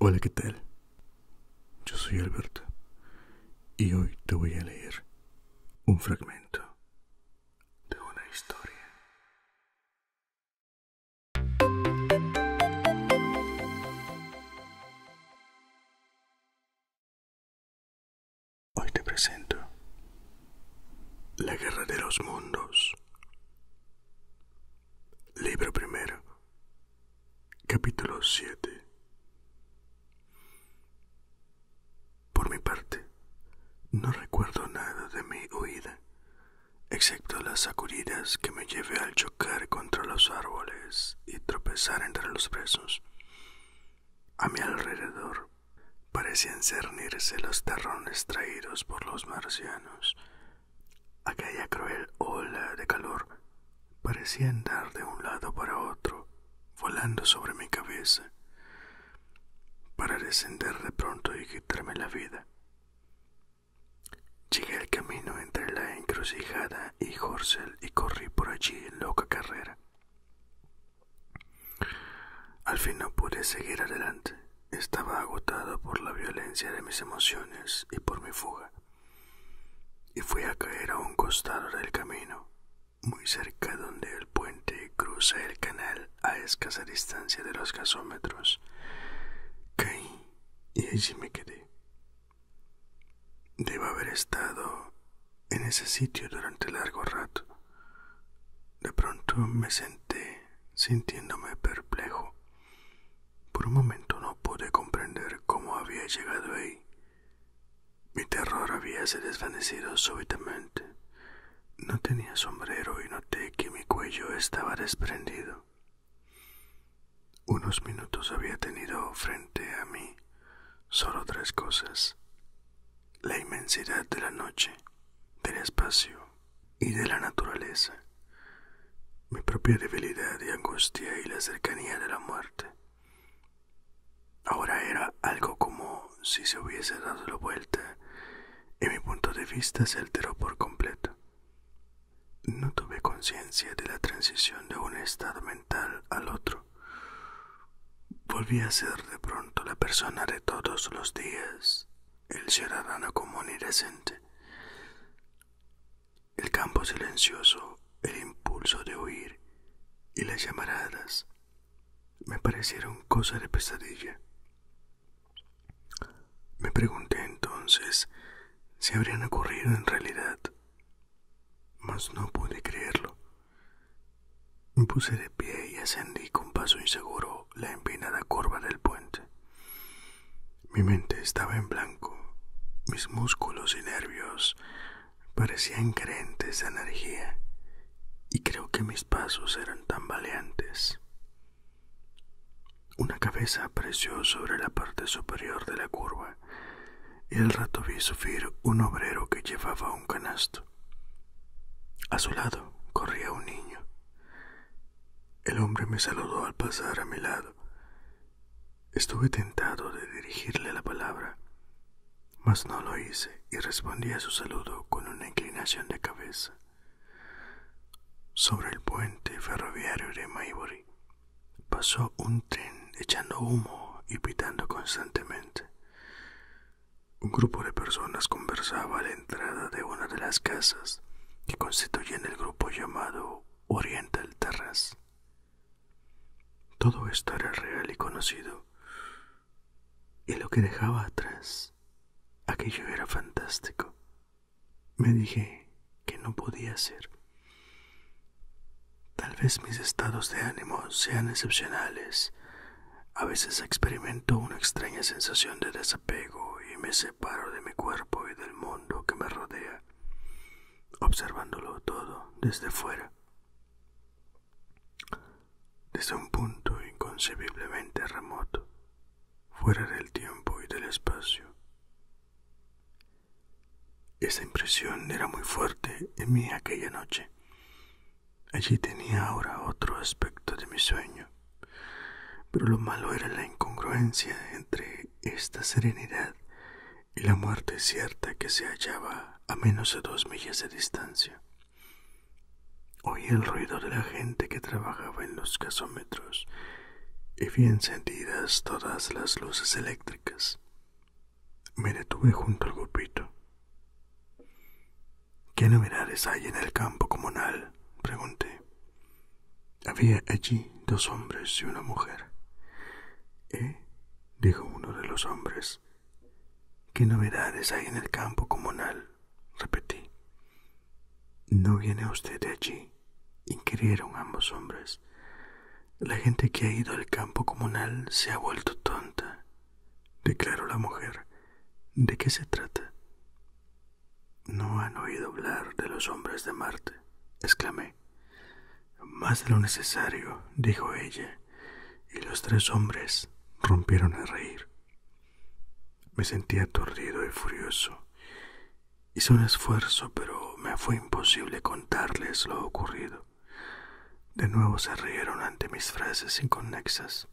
Hola, ¿qué tal? Yo soy Alberto y hoy te voy a leer un fragmento de una historia. Hoy te presento la Guerra de los Mundos. Libro primero. Capítulo 7. Por mi parte, no recuerdo nada de mi huida, excepto las sacudidas que me llevé al chocar contra los árboles y tropezar entre los presos. A mi alrededor parecían cernirse los terrones traídos por los marcianos. Aquella cruel ola de calor parecía andar de un lado para otro, volando sobre mi cabeza, para descender de pronto y quitarme la vida. Llegué al camino entre la encrucijada y Horsel y corrí por allí en loca carrera. Al fin no pude seguir adelante. Estaba agotado por la violencia de mis emociones y por mi fuga. Y fui a caer a un costado del camino, muy cerca donde el puente cruza el canal a escasa distancia de los gasómetros. Caí y allí me quedé. Debo haber estado en ese sitio durante largo rato. De pronto me senté sintiéndome perplejo. Por un momento no pude comprender cómo había llegado ahí. Mi terror había se desvanecido súbitamente. No tenía sombrero y noté que mi cuello estaba desprendido. Unos minutos había tenido frente a mí solo tres cosas la inmensidad de la noche, del espacio y de la naturaleza, mi propia debilidad y angustia y la cercanía de la muerte. Ahora era algo como si se hubiese dado la vuelta y mi punto de vista se alteró por completo. No tuve conciencia de la transición de un estado mental al otro Volví a ser de pronto la persona de todos los días, el ciudadano común y decente. El campo silencioso, el impulso de huir y las llamaradas me parecieron cosa de pesadilla. Me pregunté entonces si habrían ocurrido en realidad mas no pude creerlo. Me puse de pie y ascendí con paso inseguro la empinada curva del puente. Mi mente estaba en blanco, mis músculos y nervios parecían crentes de energía, y creo que mis pasos eran tan tambaleantes. Una cabeza apareció sobre la parte superior de la curva y al rato vi sufrir un obrero que llevaba un canasto. A su lado corría un niño. El hombre me saludó al pasar a mi lado. Estuve tentado de dirigirle la palabra, mas no lo hice y respondí a su saludo con una inclinación de cabeza. Sobre el puente ferroviario de Maybury pasó un tren echando humo y pitando constantemente. Un grupo de personas conversaba a la entrada de una de las casas que constituyen el grupo llamado Oriental Terrace. Todo esto era real y conocido, y lo que dejaba atrás, aquello era fantástico. Me dije que no podía ser, Tal vez mis estados de ánimo sean excepcionales. A veces experimento una extraña sensación de desapego y me separo de mi cuerpo y del mundo que me rodea, observándolo todo desde fuera. Desde un punto inconcebiblemente remoto, fuera del tiempo y del espacio, esa impresión era muy fuerte en mí aquella noche. Allí tenía ahora otro aspecto de mi sueño, pero lo malo era la incongruencia entre esta serenidad y la muerte cierta que se hallaba a menos de dos millas de distancia. Oí el ruido de la gente que trabajaba en los casómetros y vi encendidas todas las luces eléctricas. Me detuve junto al grupito. ¿Qué novedades hay en el campo comunal? pregunté. Había allí dos hombres y una mujer. ¿Eh? dijo uno de los hombres. ¿Qué novedades hay en el campo comunal? repetí. ¿No viene usted allí? inquirieron ambos hombres. La gente que ha ido al campo comunal se ha vuelto tonta, declaró la mujer. ¿De qué se trata? No han oído hablar de los hombres de Marte, exclamé. Más de lo necesario, dijo ella, y los tres hombres rompieron a reír. Me sentí aturdido y furioso, Hice un esfuerzo, pero me fue imposible contarles lo ocurrido. De nuevo se rieron ante mis frases inconexas.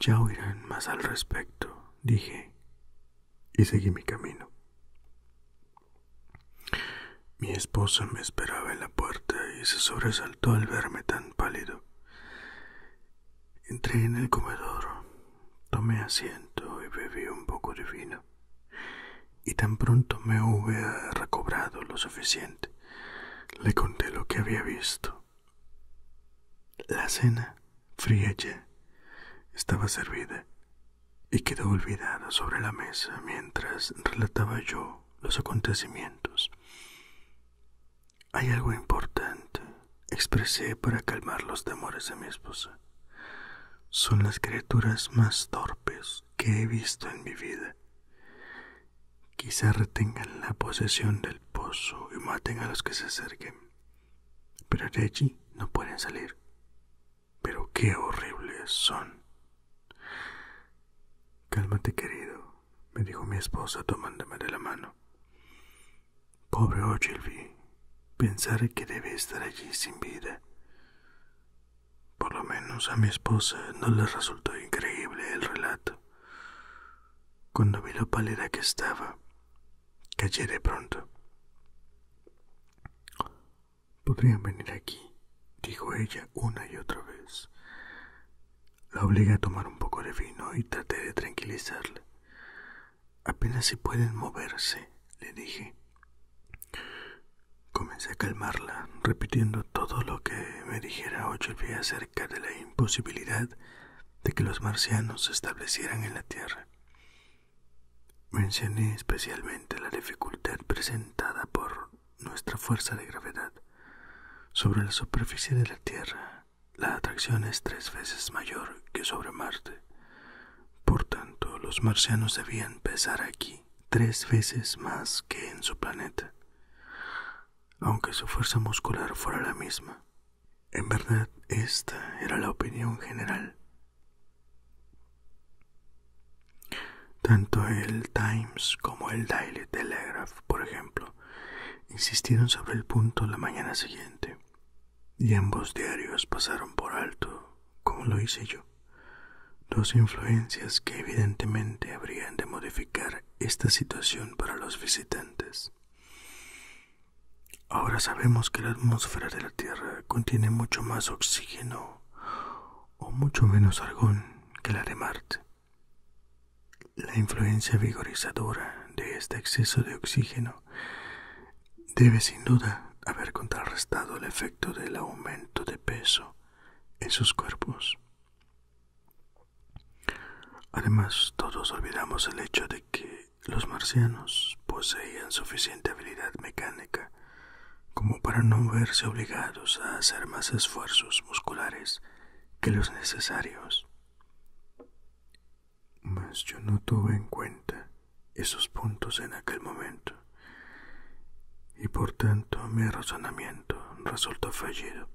Ya oirán más al respecto, dije, y seguí mi camino. Mi esposa me esperaba en la puerta y se sobresaltó al verme tan pálido. Entré en el comedor, tomé asiento y bebí un poco de vino, y tan pronto me hubiera recobrado lo suficiente, le conté lo que había visto. La cena, fría ya, estaba servida y quedó olvidada sobre la mesa mientras relataba yo los acontecimientos. Hay algo importante, expresé para calmar los temores de mi esposa. Son las criaturas más torpes que he visto en mi vida. Quizá retengan la posesión del pozo y maten a los que se acerquen. Pero de allí no pueden salir. Pero qué horribles son. Cálmate, querido, me dijo mi esposa tomándome de la mano. Pobre Ogilvy, pensar que debe estar allí sin vida. Por lo menos a mi esposa no le resultó increíble el relato. Cuando vi lo pálida que estaba, callé de pronto. Podrían venir aquí, dijo ella una y otra vez. La obligué a tomar un poco de vino y traté de tranquilizarla. Apenas si pueden moverse, le dije. Comencé a calmarla, repitiendo todo lo que me dijera día acerca de la imposibilidad de que los marcianos se establecieran en la Tierra. Mencioné especialmente la dificultad presentada por nuestra fuerza de gravedad sobre la superficie de la Tierra la atracción es tres veces mayor que sobre Marte. Por tanto, los marcianos debían pesar aquí tres veces más que en su planeta, aunque su fuerza muscular fuera la misma. En verdad, esta era la opinión general. Tanto el Times como el Daily Telegraph, por ejemplo, insistieron sobre el punto la mañana siguiente, y ambos diarios pasaron por alto, como lo hice yo, dos influencias que evidentemente habrían de modificar esta situación para los visitantes. Ahora sabemos que la atmósfera de la Tierra contiene mucho más oxígeno o mucho menos argón que la de Marte. La influencia vigorizadora de este exceso de oxígeno debe sin duda haber contrarrestado el efecto del aumento de peso en sus cuerpos. Además, todos olvidamos el hecho de que los marcianos poseían suficiente habilidad mecánica como para no verse obligados a hacer más esfuerzos musculares que los necesarios. Mas yo no tuve en cuenta esos puntos en aquel momento, y por tanto mi razonamiento resultó fallido.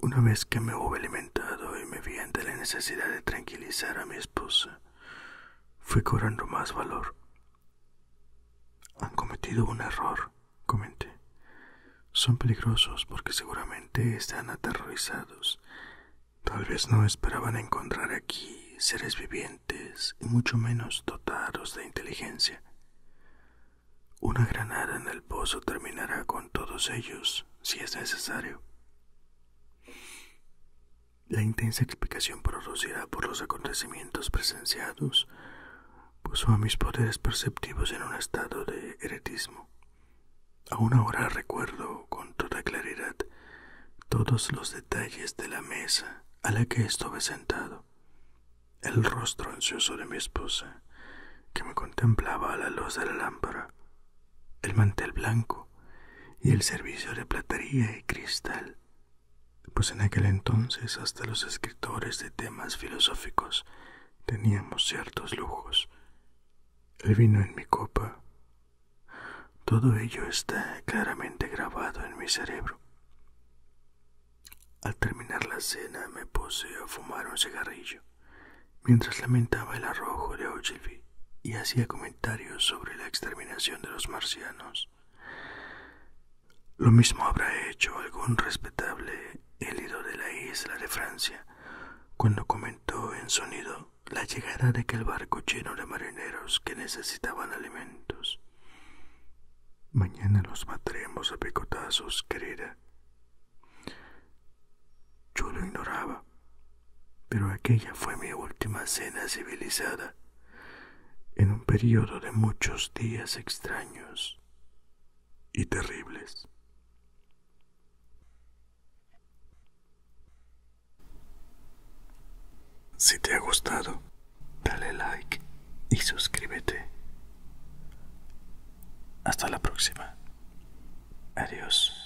Una vez que me hubo alimentado y me vi ante la necesidad de tranquilizar a mi esposa, fui cobrando más valor. Han cometido un error, comenté. Son peligrosos porque seguramente están aterrorizados. Tal vez no esperaban encontrar aquí seres vivientes y mucho menos dotados de inteligencia. Una granada en el pozo terminará con todos ellos si es necesario. La intensa explicación producida por los acontecimientos presenciados puso a mis poderes perceptivos en un estado de heretismo. Aún ahora recuerdo con toda claridad todos los detalles de la mesa a la que estuve sentado, el rostro ansioso de mi esposa, que me contemplaba a la luz de la lámpara, el mantel blanco y el servicio de platería y cristal pues en aquel entonces hasta los escritores de temas filosóficos teníamos ciertos lujos. El vino en mi copa. Todo ello está claramente grabado en mi cerebro. Al terminar la cena me puse a fumar un cigarrillo, mientras lamentaba el arrojo de Ogilvy y hacía comentarios sobre la exterminación de los marcianos. Lo mismo habrá hecho algún respetable herido de la isla de Francia cuando comentó en sonido la llegada de aquel barco lleno de marineros que necesitaban alimentos. Mañana los matremos a picotazos, querida. Yo lo ignoraba, pero aquella fue mi última cena civilizada en un periodo de muchos días extraños y terribles. Si te ha gustado, dale like y suscríbete. Hasta la próxima. Adiós.